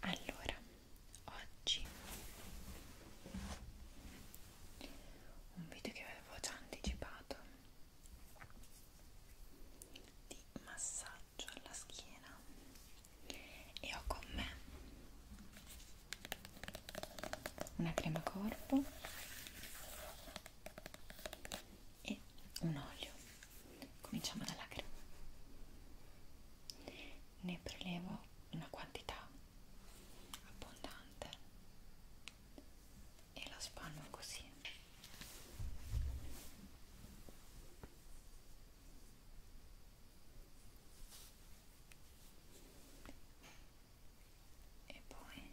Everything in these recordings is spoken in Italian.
Allora, oggi un video che avevo già anticipato di massaggio alla schiena e ho con me una crema corpo e un olio cominciamo dalla crema ne prelevo una quantità abbondante e la spanno così e poi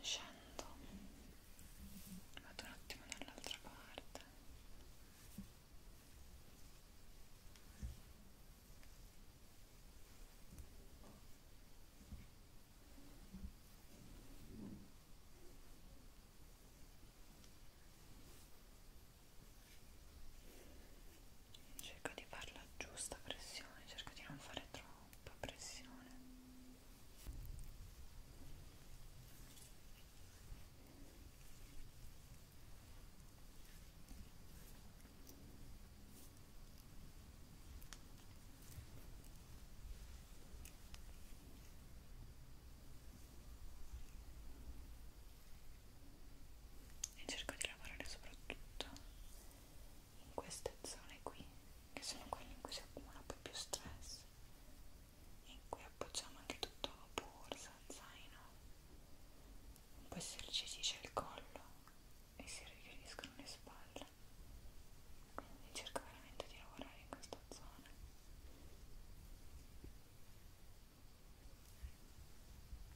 scendo vado un attimo dall'altra parte cerco di fare la giusta pressione cerco di non fare troppo troppa pressione e cerco di lavorare soprattutto in queste zone qui che sono quelle in cui si accumula poi più stress in cui appoggiamo anche tutto borsa, zaino in poi si irrigidice il collo e si richiudiscono le spalle quindi cerco veramente di lavorare in questa zona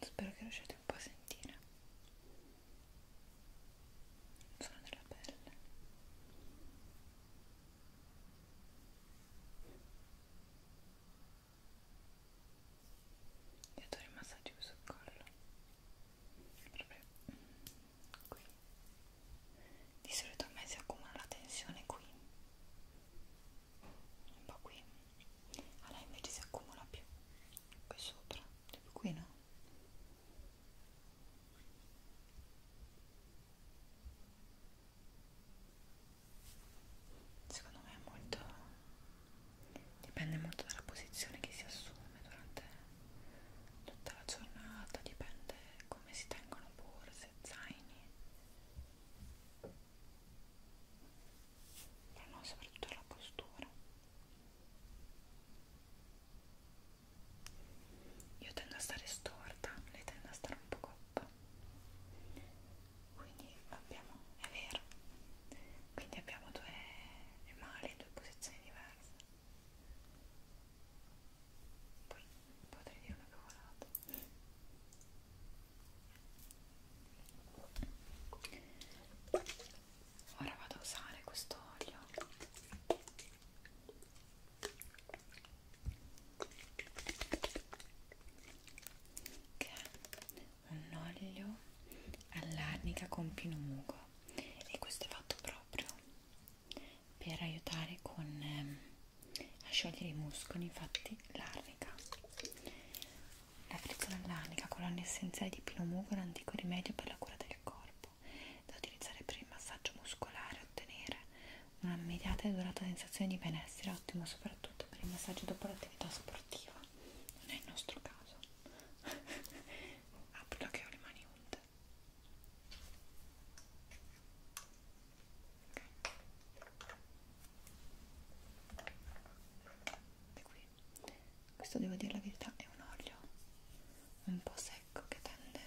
Spero che riusciate un po' a sentire il suono della pelle io adoro i massaggi sul collo proprio qui di solito a me si accumula la tensione qui un po' qui a lei invece si accumula più qui sopra, più cioè, qui no? secondo me è molto dipende molto dalla posizione che si assume durante tutta la giornata dipende come si tengono borse, zaini però no, soprattutto la postura io tendo a stare storta lei tende a stare un po' coppa quindi abbiamo è vero quindi abbiamo due male due posizioni diverse poi potrei dire una cavolata ora vado a usare questo olio che è un olio all'arnica con pinumugo e questo è fatto proprio per aiutare con, ehm, a sciogliere i muscoli infatti l'arnica la frizzola all'arnica con l'olio essenziale di pinumugo è un antico rimedio per la cura del corpo da utilizzare per il massaggio muscolare e ottenere un'immediata e durata sensazione di benessere, ottimo soprattutto per il massaggio dopo l'attività sportiva. Non è il nostro caso. Apro che ho le mani unte. Okay. Qui. Questo devo dire la verità è un olio un po' secco che tende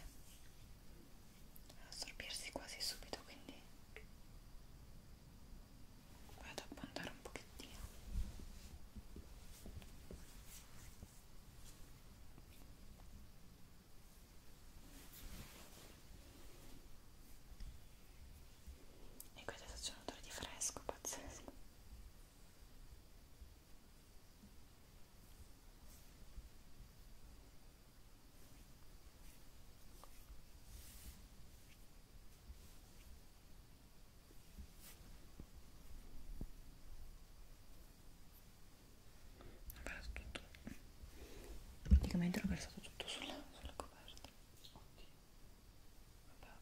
assorbirsi quasi subito quindi vado a puntare un pochettino e questo c'è un odore di fresco pazzesco ho perso tutto praticamente l'ho versato tutto sulla, sulla coperta ok vabbè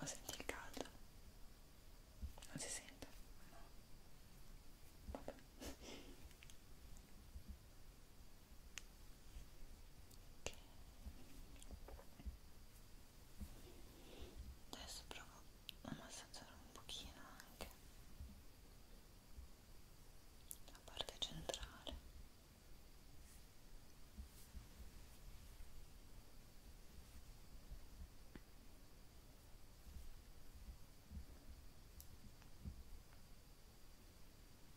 Oh, senti il caldo? Non si sente? No. Vabbè. Adesso provo a massaggiare un pochino anche la parte centrale. Ok,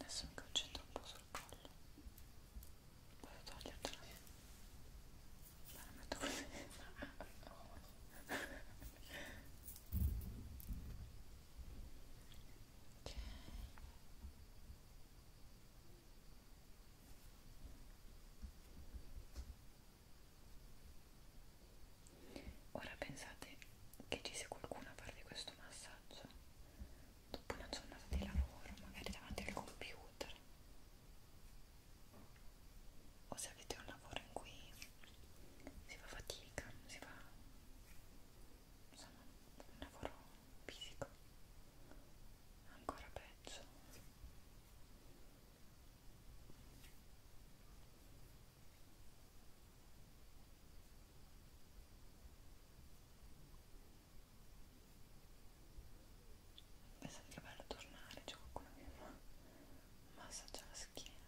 Adesso mi concentro un po' sul collo. Posso togliertela? La metto così. Ok. Ora pensate che ci sia qualcuno a fare questo massaggio dopo una giornata di lavoro, magari davanti al computer o se avete un lavoro in cui si fa fatica, si fa insomma un lavoro fisico ancora peggio è sempre bello tornare, c'è qualcuno che mi fa massaggia la schiena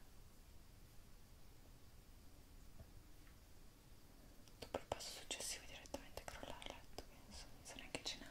dopo il passo successivo direttamente crollare a letto, penso, non so neanche cenare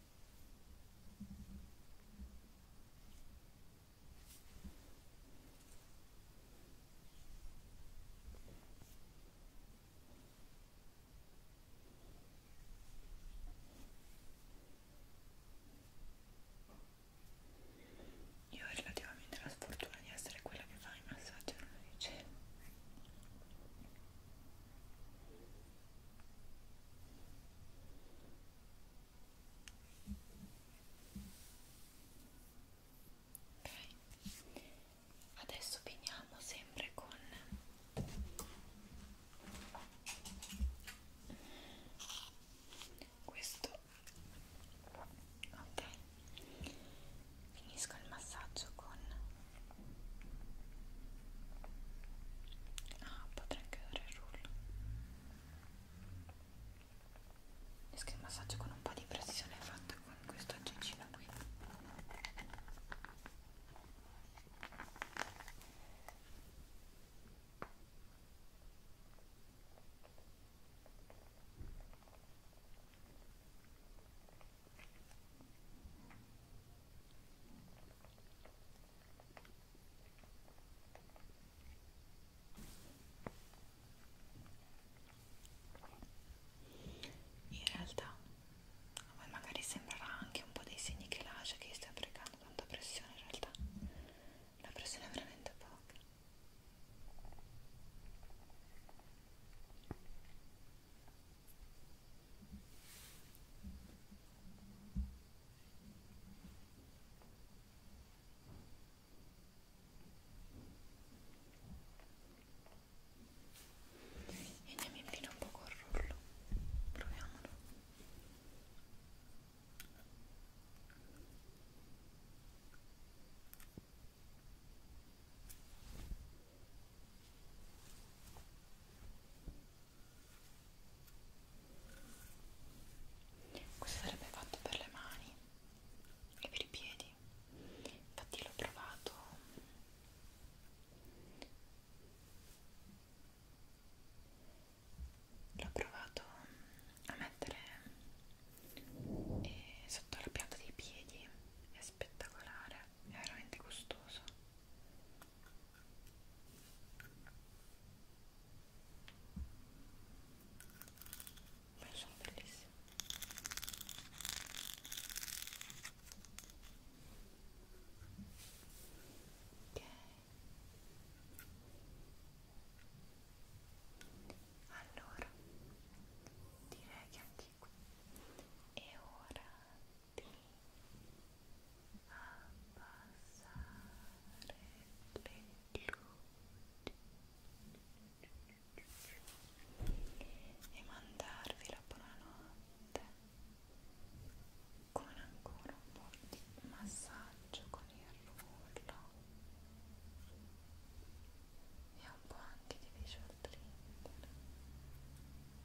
Io ho relativamente la sfortuna di essere quella che fa i massaggi al cielo ok adesso finiamo sempre con questo ok finisco il massaggio con Ah, potrei anche dare il rullo. Esco il massaggio con un po' di pressione fatta con questo aggeggino qui. In realtà a voi magari sembrerà anche un po' dei segni che lascia che stia applicando tanta pressione, in realtà la pressione è veramente poca e andiamo in fila un po' col rullo proviamolo questo sarebbe fatto per le mani e per i piedi infatti l'ho provato l'ho provato a mettere eh, sotto la pianta dei piedi è spettacolare è veramente gustoso ma sono bellissime ok allora direi che anche qui è ora luci e mandarvi la buonanotte con ancora un po' di massaggio con il rullo e un po' anche di visual trigger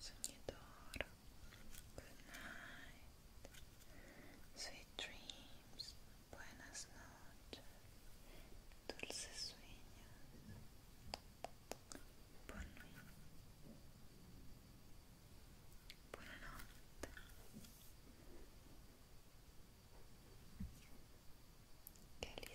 Sognador, good night, sweet dreams, buenas noches, dulces sueños, buon buonanotte. Che li